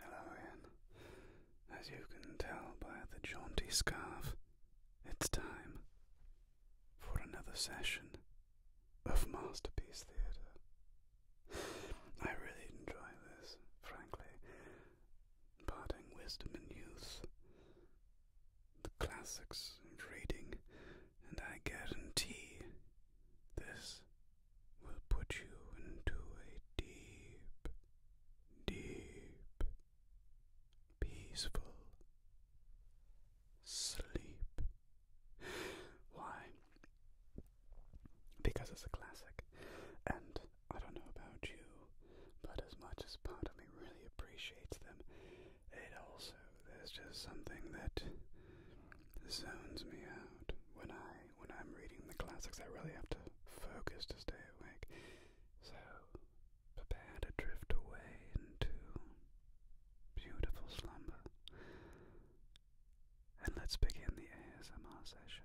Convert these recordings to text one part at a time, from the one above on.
Hello, Anne. As you can tell by the jaunty scarf, it's time for another session of Masterpiece Theatre. I really enjoy this, frankly. Parting wisdom and youth, the classics and reading, and I guarantee this will put you into a deep, deep, peaceful sleep. Why? Because it's a classic, and I don't know about you, but as much as part of me really appreciates them, it also, is just something that zones me out when I when I'm reading the classics, I really have to focus to stay awake. So, prepare to drift away into beautiful slumber. And let's begin the ASMR session.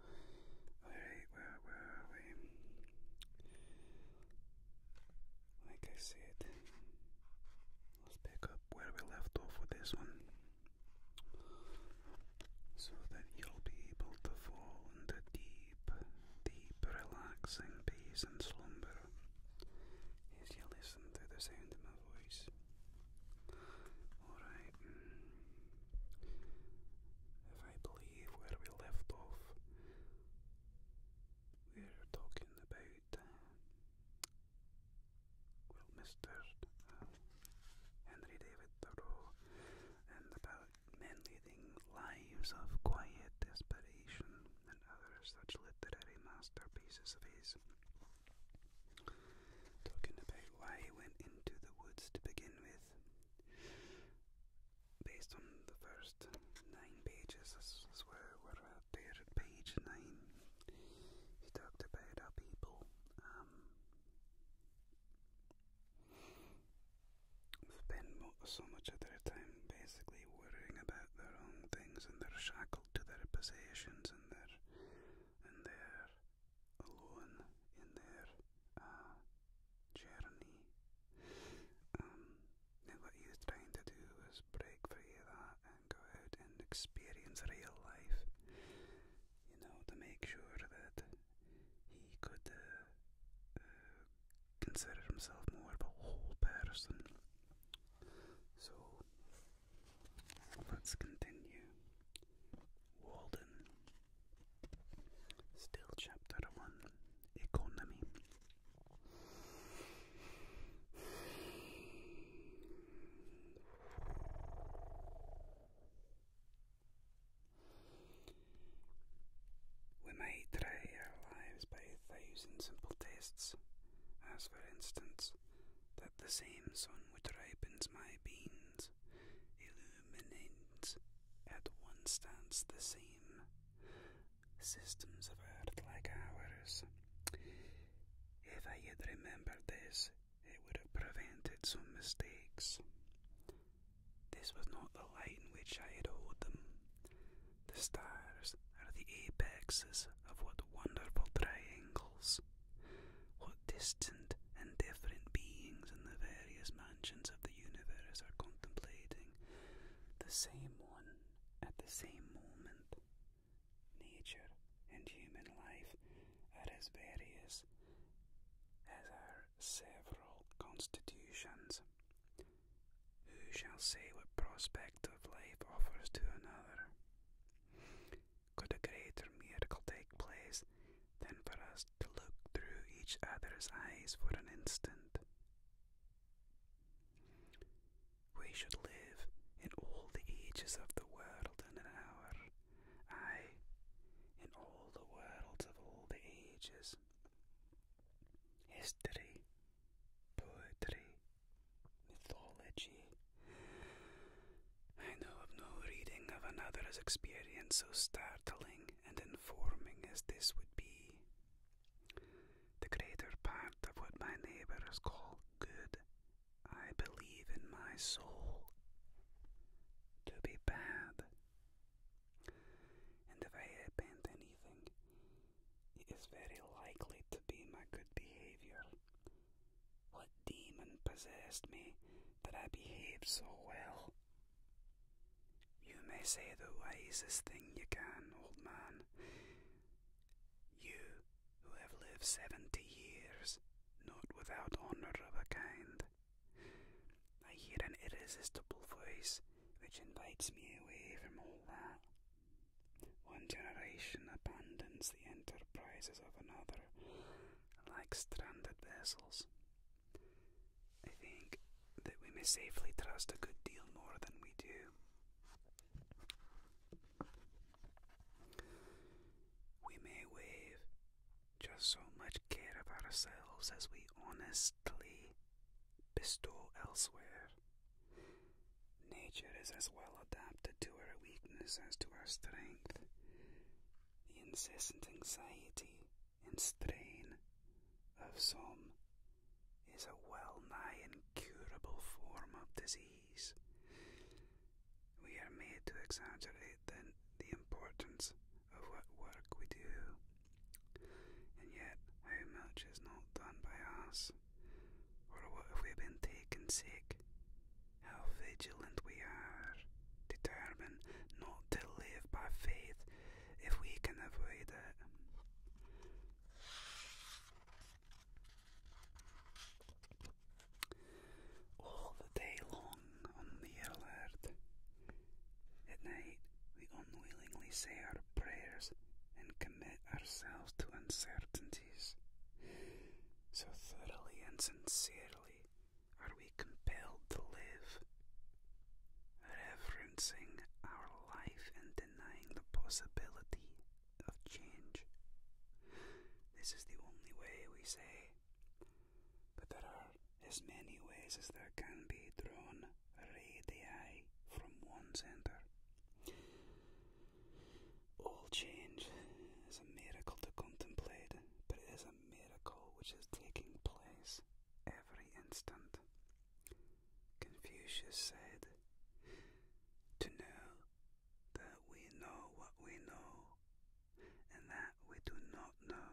Alright, where, where are we? Like I said, let's pick up where we left off with this one so that you'll be able to fall into deep, deep, relaxing peace and slumber as you listen to the sound of my voice. Alright, if I believe where we left off. We're talking about, uh, well, Mr. Uh, Henry David Thoreau and about men leading lives of quiet desperation and other such literary masterpieces of his. Talking about why he went into the woods to begin with based on the first nine pages, this where we're at page nine. He talked about how people um, spend so much of their time basically worrying about their own things and they're shackled to their possessions and they're, and they're alone in their uh, journey. Um, now what he was trying to do was break free of that and go out and experience real life, you know, to make sure that he could uh, uh, consider himself more of a whole person. So let's continue. Walden Still, chapter one economy. We may try our lives by a simple tests, as for instance, that the same sun which ripens my beans lamps at one stance the same systems of earth like ours. If I had remembered this, it would have prevented some mistakes. This was not the light in which I had owed them. The stars are the apexes of what wonderful triangles, what distant and different beings in the various mansions of the universe are contemplating the same one at the same moment. Nature and human life are as various as are several constitutions. Who shall say what prospect of life offers to another? Could a greater miracle take place than for us to look through each other's eyes for an instant. We should live in all the ages of the world in an hour, I, in all the worlds of all the ages. History, poetry, mythology. I know of no reading of another's experience so startling and informing as this would be. The greater part of what my neighbors call good, I believe in my soul to be bad. And if I repent anything, it is very likely to be my good behavior. What demon possessed me that I behaved so well you may say the wisest thing you can, old man. You who have lived seventy years, not without honour of a kind. I hear an irresistible voice which invites me away from all that. One generation abandons the enterprises of another like stranded vessels, I think that we may safely trust a good deal more than we do. We may waive just so much care of ourselves as we honestly bestow elsewhere. Nature is as well adapted to our weakness as to our strength. The incessant anxiety and strain of some is a well nigh incurable form of disease. We are made to exaggerate the, importance of what work we do, and yet how much is not done by us, or what have we been taken sick? How vigilant we are, determined not to live by faith if we can avoid it. All the day long on the alert. At night, we unwillingly say our prayers and commit ourselves to uncertainties. So thoroughly and sincerely are we compelled to live, reverencing our life and denying the possibility of change. This is the only way we say, but there are as many ways as there can be drawn radii from one centre. All change is a miracle to contemplate, but it is a miracle which is taking place every instant. Confucius said, To know that we know what we know, and that we do not know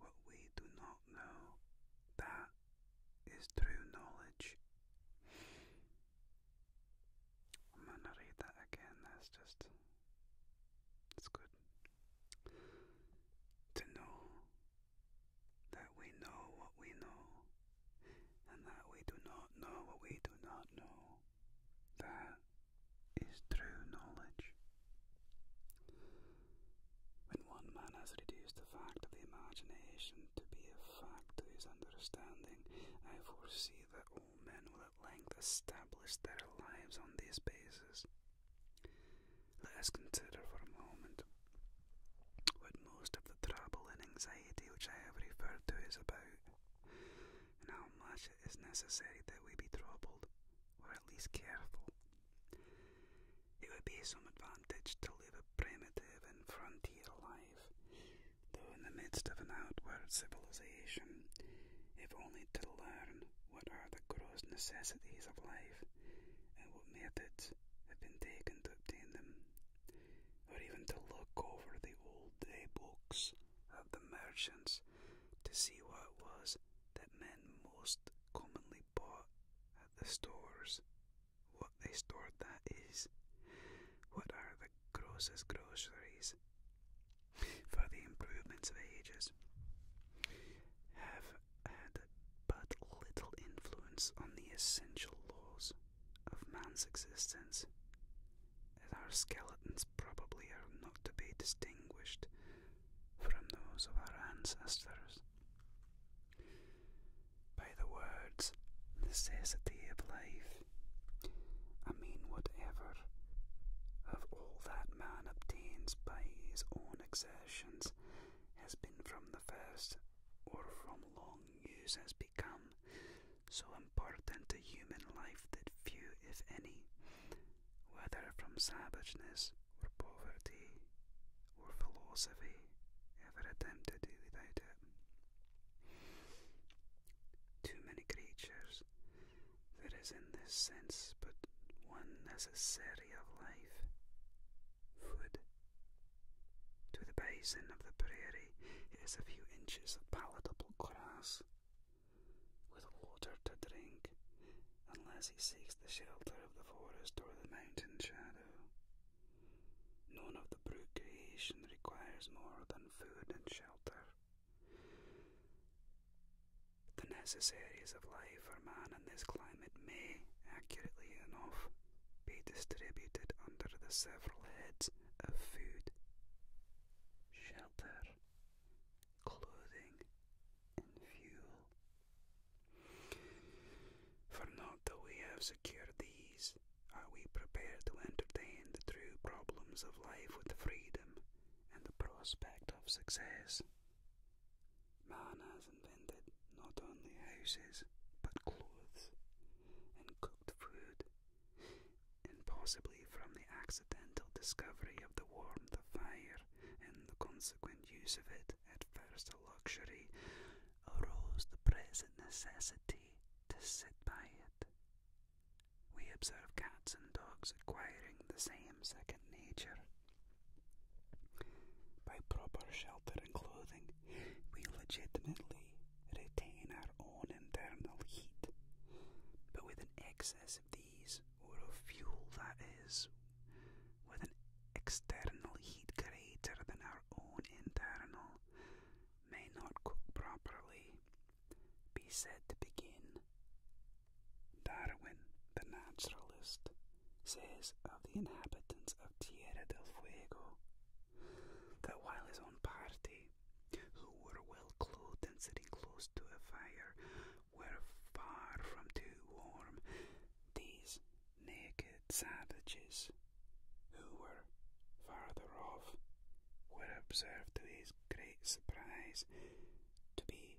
what we do not know, that is true knowledge. I'm going to read that again, that's just. It's good to know that we know what we know, and that we do not know what we do not know. That is true knowledge. When one man has reduced the fact of the imagination to be a fact to his understanding, I foresee that all men will at length establish their lives on these bases. Let us consider for a moment what most of the trouble and anxiety which I have referred to is about, and how much it is necessary that we be troubled, or at least careful. It would be some advantage to live a primitive and frontier life, though in the midst of an outward civilization, if only to learn what are the gross necessities of life, and what methods have been taken to obtain them, or even to look over the old day books of the merchants to see what it was that men most commonly bought at the stores, what they stored that is, what are the grossest groceries for the improvements of ages. Have had but little influence on the essential laws of man's existence, as our skeletons probably are not to be distinguished from those of our ancestors. By the words necessity of life, I mean whatever of all that man obtains by his own existence has been from the first or from long use has become so important to human life that few, if any, whether from savageness or poverty or philosophy, ever attempt to do without it. Too many creatures there is in this sense but one necessary of life food. To the basin of the prairie, it is a few inches of palatable grass, with water to drink, unless he seeks the shelter of the forest or the mountain shadow. None of the brute creation requires more than food and shelter. The necessaries of life for man in this climate may, accurately enough, be distributed under the several heads of food, shelter, clothing, and fuel. For not till we have secured these are we prepared to entertain the true problems of life with freedom and the prospect of success. Man has invented not only houses, but clothes and cooked food, and possibly from the accidental discovery of the warmth of fire and the consequent use of it, at first a luxury, arose the present necessity to sit by it. We observe cats and dogs acquiring the same second nature. By proper shelter and clothing, we legitimately retain our own internal heat, but with an excess of these, or of fuel that is, with an external heat greater than our own internal, may not cook properly, be said to begin Darwin, the naturalist, says of the inhabitants of Tierra del Fuego that while his own party, who were well clothed and sitting close to a fire, were far from too warm, these naked savages, who were farther off, were observed to his great surprise to be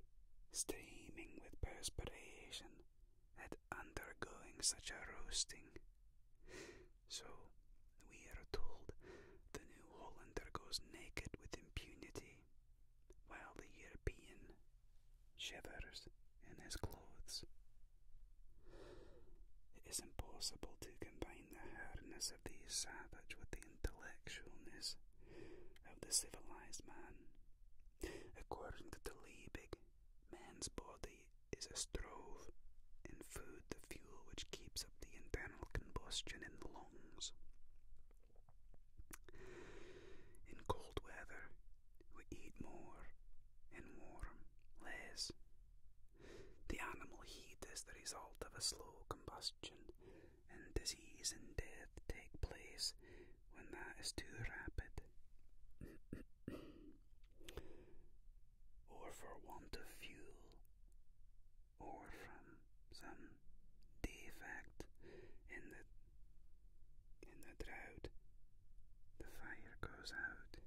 streaming with perspiration at undergoing such a roasting. So, we are told, the New Hollander goes naked with impunity, while the European shivers in his clothes. It is impossible to combine the hardness of the savage with the intellectualness of the civilized man, According to the Liebig, man's body is a stove, in food the fuel which keeps up the internal combustion in the lungs. In cold weather, we eat more, in warm, less. The animal heat is the result of a slow combustion and disease and death take place when that is too rapid, or for want of fuel, or from some defect in the in the drought, the fire goes out.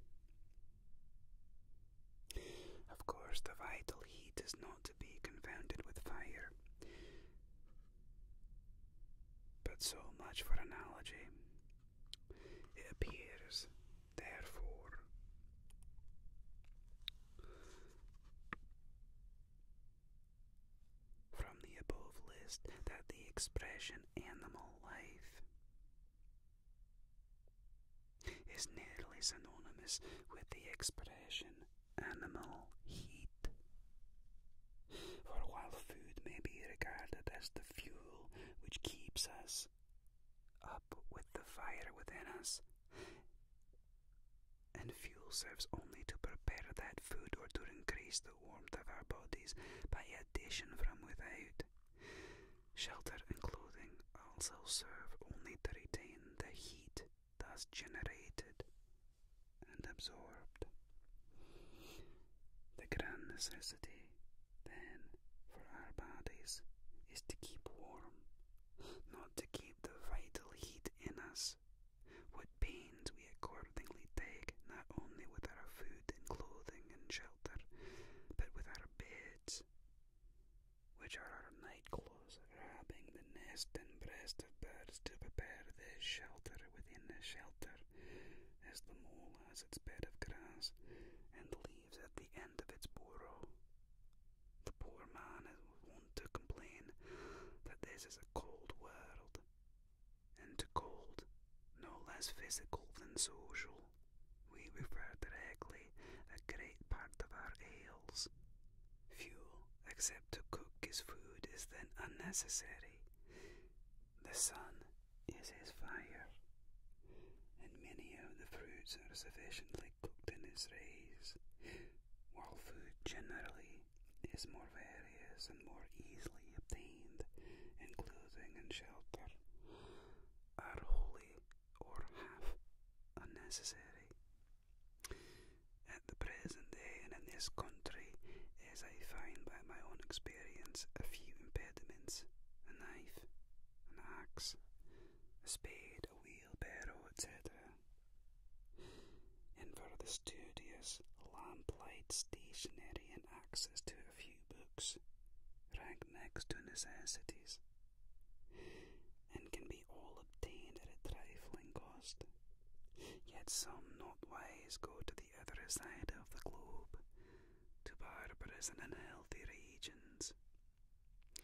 Of course, the vital heat is not to be confounded with fire. But so much for analogy. It appears, therefore, from the above list that the expression animal life is nearly synonymous with the expression animal heat. For while food may be regarded as the fuel which keeps us up with the fire within us, and fuel serves only to prepare that food or to increase the warmth of our bodies by addition from without. Shelter and clothing also serve only to retain the heat thus generated and absorbed. The grand necessity, then, for our bodies is to keep warm, not to keep the vital heat in us. What pains we accordingly take, not only with our food and clothing and shelter, but with our beds, which are our night clothes, our wrapping, the nest and breast of birds to prepare their shelter within the shelter, as the mole has its bed of grass and leaves at the end of its burrow. The poor man is wont to complain that this is a cold world, and to cold, no less physical than social, we refer directly a great part of our ails Fuel, except to cook his food, is then unnecessary. The sun is his fire, and many of the fruits are sufficiently cooked in its rays, while food generally is more various and more easily obtained, and clothing and shelter are wholly or half unnecessary at the present day and in this country, as I find by my own experience, a few impediments a knife, an axe, a spade, a wheelbarrow, etc. In for the studious, lamp lamplight stationery and access to a few books rank next to necessities, and can be all obtained at a trifling cost. Yet some not wise go to the other side of the globe, to barbarous and unhealthy regions,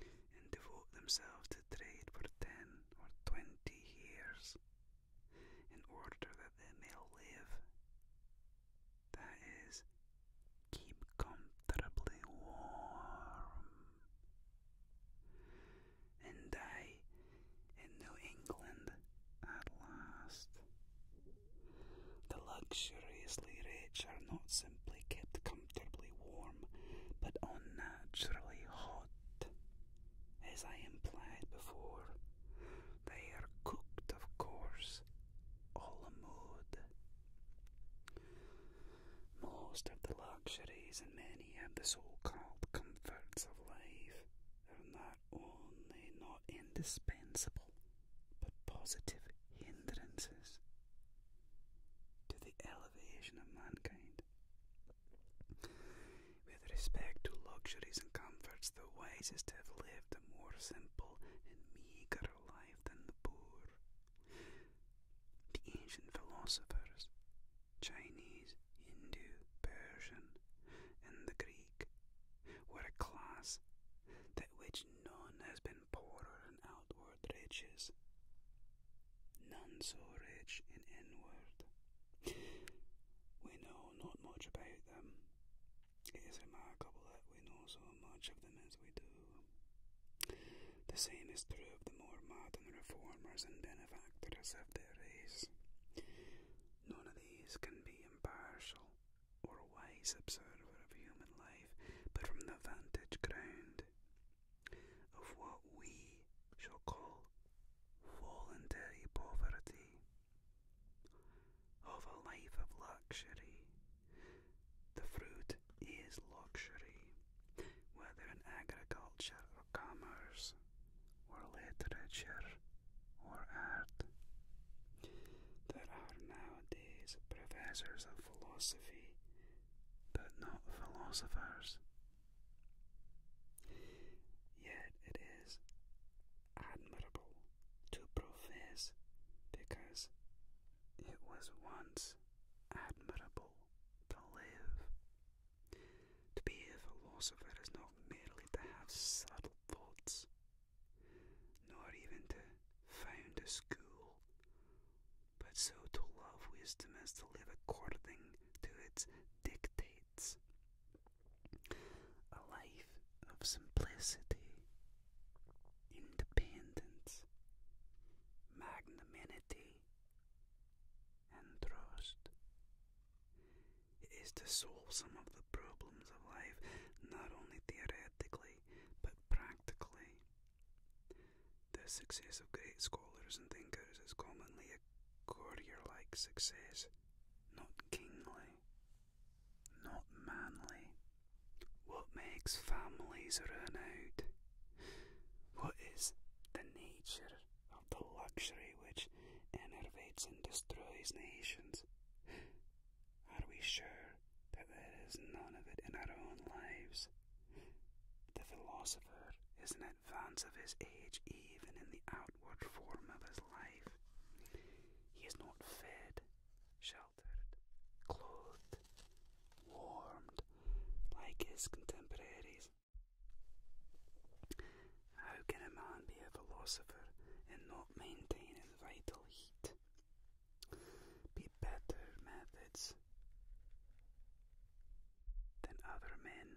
and devote themselves to trade for ten or twenty years, in order that they may live. That is, keep comfortably warm and die in New England at last. The luxuriously rich are not simply kept comfortably warm, but unnaturally hot. As I implied before, they are cooked, of course, all the mood. Most of the luxuries and many of the so called comforts of life are not only not indispensable, but positive hindrances to the elevation of mankind. With respect to luxuries and comforts, the wisest have lived a more simple and meagre life than the poor. The ancient philosophers Chinese, Hindu, Persian, and the Greek were a class that which none has been poorer in outward riches, none so rich in inward. We know not much about them. It is remarkable that we know so much of them as we do. The same is true of the more modern the reformers and benefactors of their race. None of these can be impartial or a wise observer of human life, but from the vantage ground of what we shall call fallen-day poverty, of a life of luxury. The fruit is luxury, whether in agriculture commerce, or literature, or art. There are nowadays professors of philosophy, but not philosophers. Yet it is admirable to profess because it was once admirable to live. To be a philosopher is not merely to have subtle thoughts, nor even to found a school, but so to love wisdom as to live according to its dictates. A life of simplicity, independence, magnanimity, and trust. It is to solve some of the problems of life, not only theoretically, but practically. The success of great scholars and thinkers is commonly a courtier like success, not kingly, not manly. What makes families run out? What is the nature the luxury which enervates and destroys nations? Are we sure that there is none of it in our own lives? The philosopher is in advance of his age, even in the outward form of his life. He is not fed, sheltered, clothed, warmed like his contemporaries. How can a man be a philosopher and not maintain his vital heat? Be better methods than other men.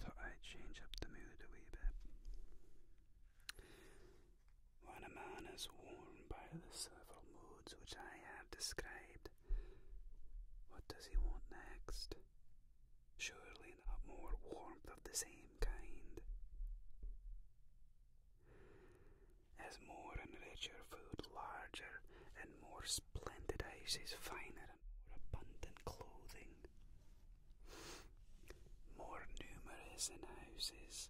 Thought i change up the mood a wee bit. When a man is worn by the several modes which I have described, what does he want next? Surely not more warmth of the same kind. As more and richer food, larger and more splendid houses, finer and more abundant clothing, more numerous in houses,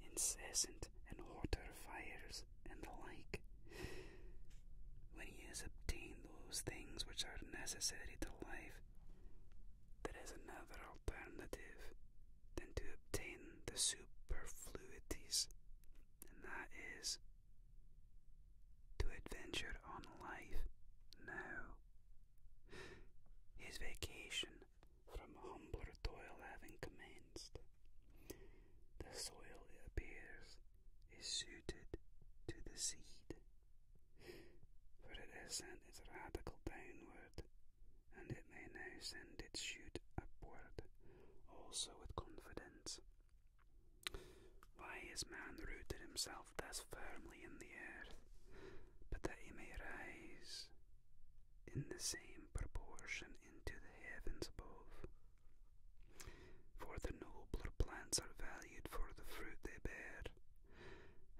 incessant and hotter fires, and the like. When he has obtained those things which are necessary to life, there is another alternative than to obtain the superfluities, and that is to adventure on life now. His vacation from humbler toil having commenced, the soil, appears, is suited to the seed, for it has sent its radicle downward, and it may now send its shoot upward, also with confidence. Why is man rooted himself thus firmly in the earth, but that he may rise in the same proportion into the heavens above? For the nobler plants are valued for the fruit they bear.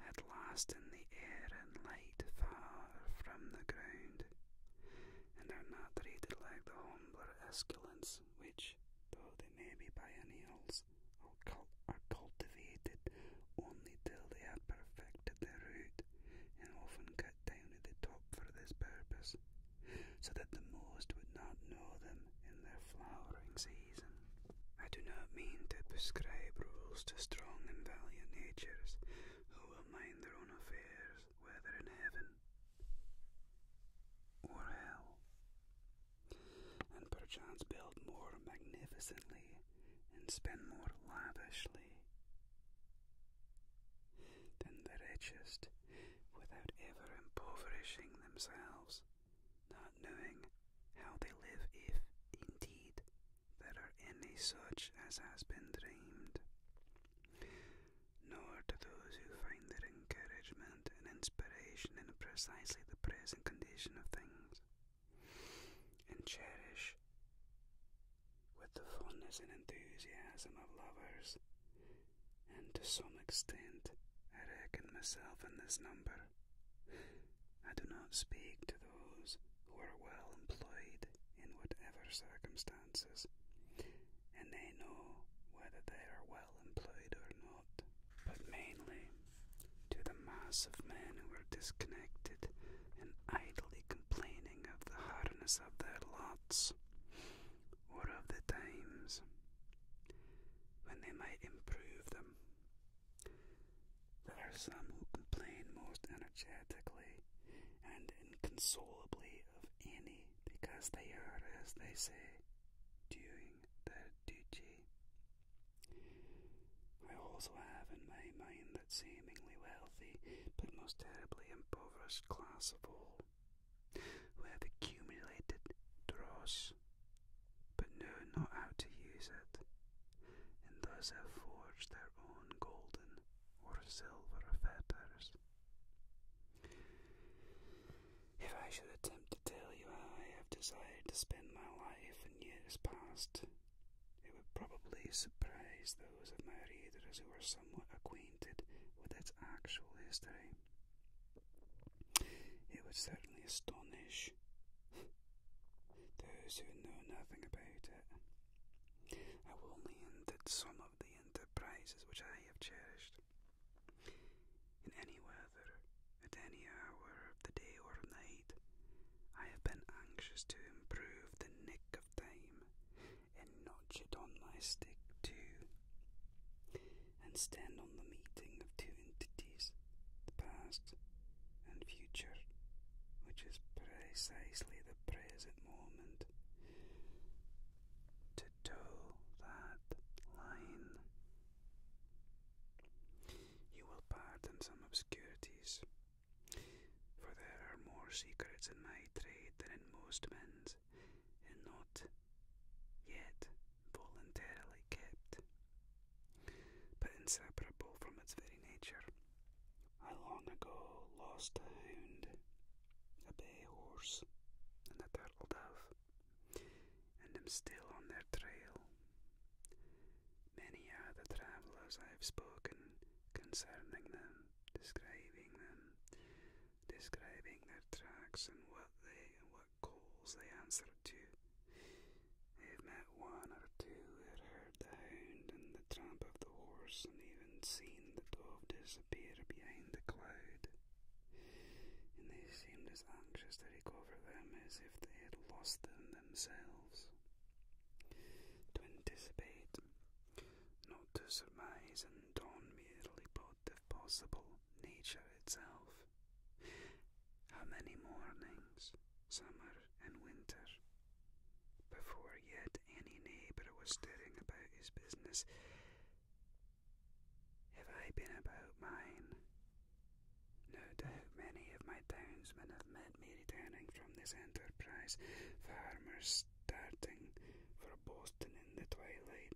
At last in the air and light far from the ground, and are not treated like the humbler esculents, which, though they may be biennials, are, are cultivated only till they have perfected their root, and often cut down at the top for this purpose so that the most would not know them in their flowering season. I do not mean to prescribe rules to strong and valiant natures who will mind their own affairs, whether in heaven or hell, and perchance build more magnificently and spend more lavishly than the richest, without ever impoverishing themselves, not knowing how they live if, indeed, there are any such as has been dreamed. Nor to those who find their encouragement and inspiration in precisely the present condition of things, and cherish, with the fondness and enthusiasm of lovers, and to some extent I reckon myself in this number. I do not speak to those who are well employed in whatever circumstances, and they know whether they are well employed or not, but mainly to the mass of men who are disconnected and idly complaining of the hardness of their lots or of the times when they might improve them. There are some who complain most energetically and inconsolably of any because they are, as they say, doing their duty. I also have in my mind that seemingly wealthy but most terribly impoverished class of all who have accumulated dross, but know not how to use it, and thus have forged their own golden or silver fetters. If I should attempt to tell you how I have desired to spend my life in years past, it would probably surprise those of my readers who are somewhat acquainted with its actual history. It would certainly astonish those who know nothing about it. I will hint at some of the enterprises which I have cherished. In any weather, at any hour of the day or night, I have been anxious to improve the nick of time and notch it on my stick too, and stand on the meeting of two entities, the past and future, which is precisely the present moment. To toe that line, you will pardon some obscurities, for there are more secrets in my trade than in most men's and not yet voluntarily kept, but inseparable from its very nature. I long ago lost a hound, a bay horse, and a turtle dove, and am still on their trail. Many are the travellers I have spoken concerning them, describing them, describing their tracks and what they and what calls they answered to. I've met one or two who had heard the hound and the tramp of the horse, and even seen the dove disappear behind the cloud. And they seemed as anxious to recover them as if they had lost them themselves. To anticipate, not to surmise, and dawn merely brought the possible, nature itself. How many mornings, summer and winter, before yet any neighbour was stirring about his business, have I been about mine? No doubt many of my townsmen have met me returning from this enterprise, farmers, starting for Boston in the twilight,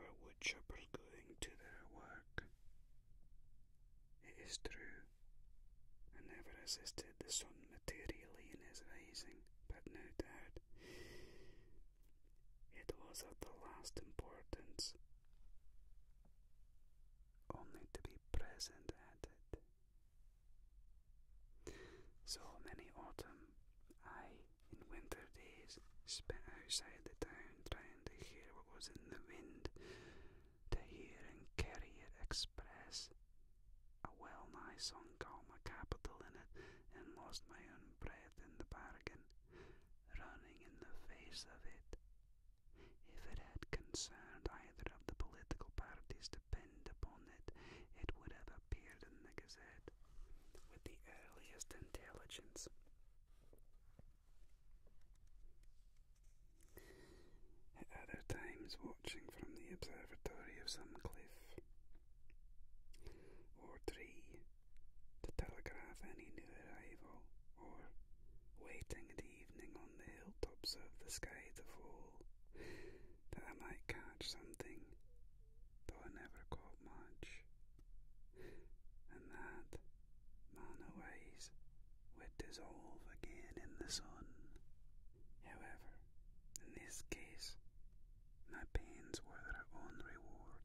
or woodchoppers going to their work. It is true, I never assisted the sun materially in his rising, but no doubt it was of the last importance only to be present at it. So many autumn, I in winter days, spent outside the town trying to hear what was in the wind, to hear and carry it express. I well nigh sunk all my capital in it, and lost my own breath in the bargain, running in the face of it. If it had concerned either of the political parties to depend upon it, it would have appeared in the Gazette with the earliest intelligence. At other times, watching from the observatory of some cliff or tree to telegraph any new arrival, or waiting at evening on the hilltops of the sky to fall, that I might catch something though I never caught much. And that manna-wise would dissolve again in the sun. However, in this case, my pains were their own reward.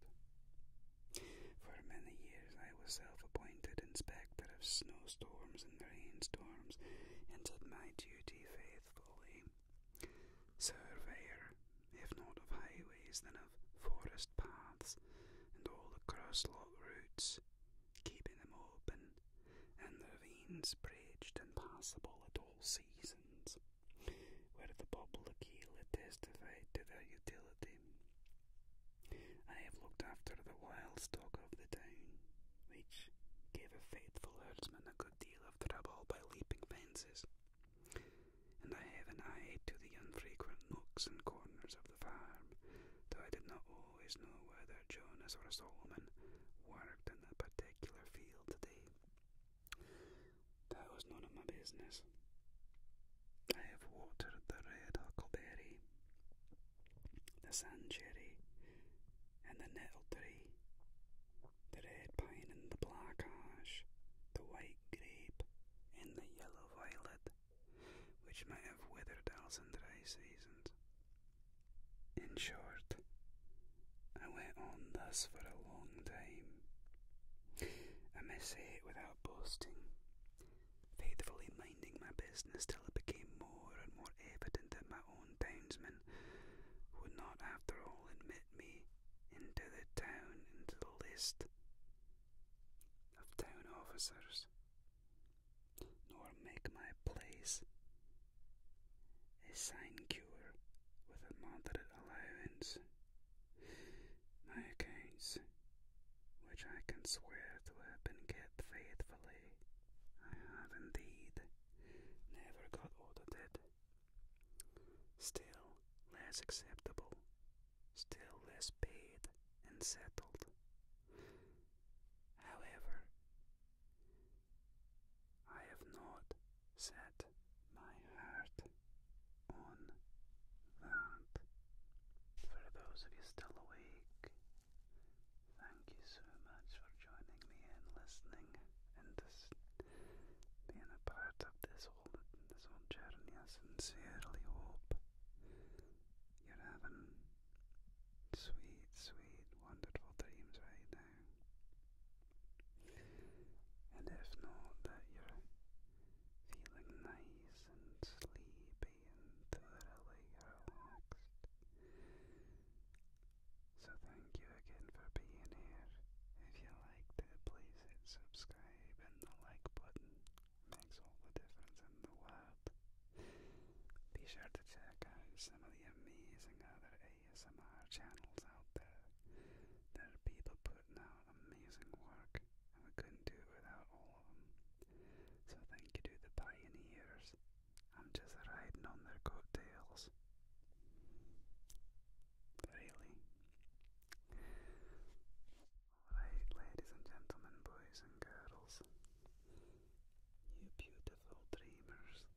For many years I was self-appointed inspector of snowstorms and rainstorms, and did my duty faithfully surveyor, if not of highways, then of forest paths and all the crosslot routes, keeping them open and the ravines bridged and passable at all seasons, where the Bobblekeela testified to their utility. I have looked after the wild stock of the town, which gave a faithful herdsman a good deal of trouble by leaping fences and I have an eye to the unfrequent nooks and corners of the farm, though I did not always know whether Jonas or Solomon worked in a particular field today. That was none of my business. I have watered the red huckleberry, the sand cherry, and the nettle tree, the red pine and the black ash, the white grape and the yellow violet, which might have withered else in dry seasons. In short, I went on thus for a long time. I may say it without boasting, faithfully minding my business till it became more and more evident that my own townsman would not, after all, admit me into the town, into the list of town officers, nor make my place a sinecure with a moderate allowance. My accounts, which I can swear to have been kept faithfully, I have indeed never got audited Still less acceptable, still less paid and settled. However, I have not set my heart on that. For those of you still awake, thank you so much for joining me in listening and. this being a part of this whole this whole journey. I sincerely hope you're having sweet, sweet, wonderful dreams right now. And if not, that you're feeling nice and sleepy and thoroughly relaxed. So thank you again for being here. If you liked it, please hit subscribe and the like button. Makes all the difference in the world. Be sure to check out some of the amazing other ASMR channels out there. There are people putting out amazing work, and we couldn't do it without all of them. So thank you to the pioneers. I'm just riding on their coattails. Really? Alright, ladies and gentlemen, boys and girls, you beautiful dreamers.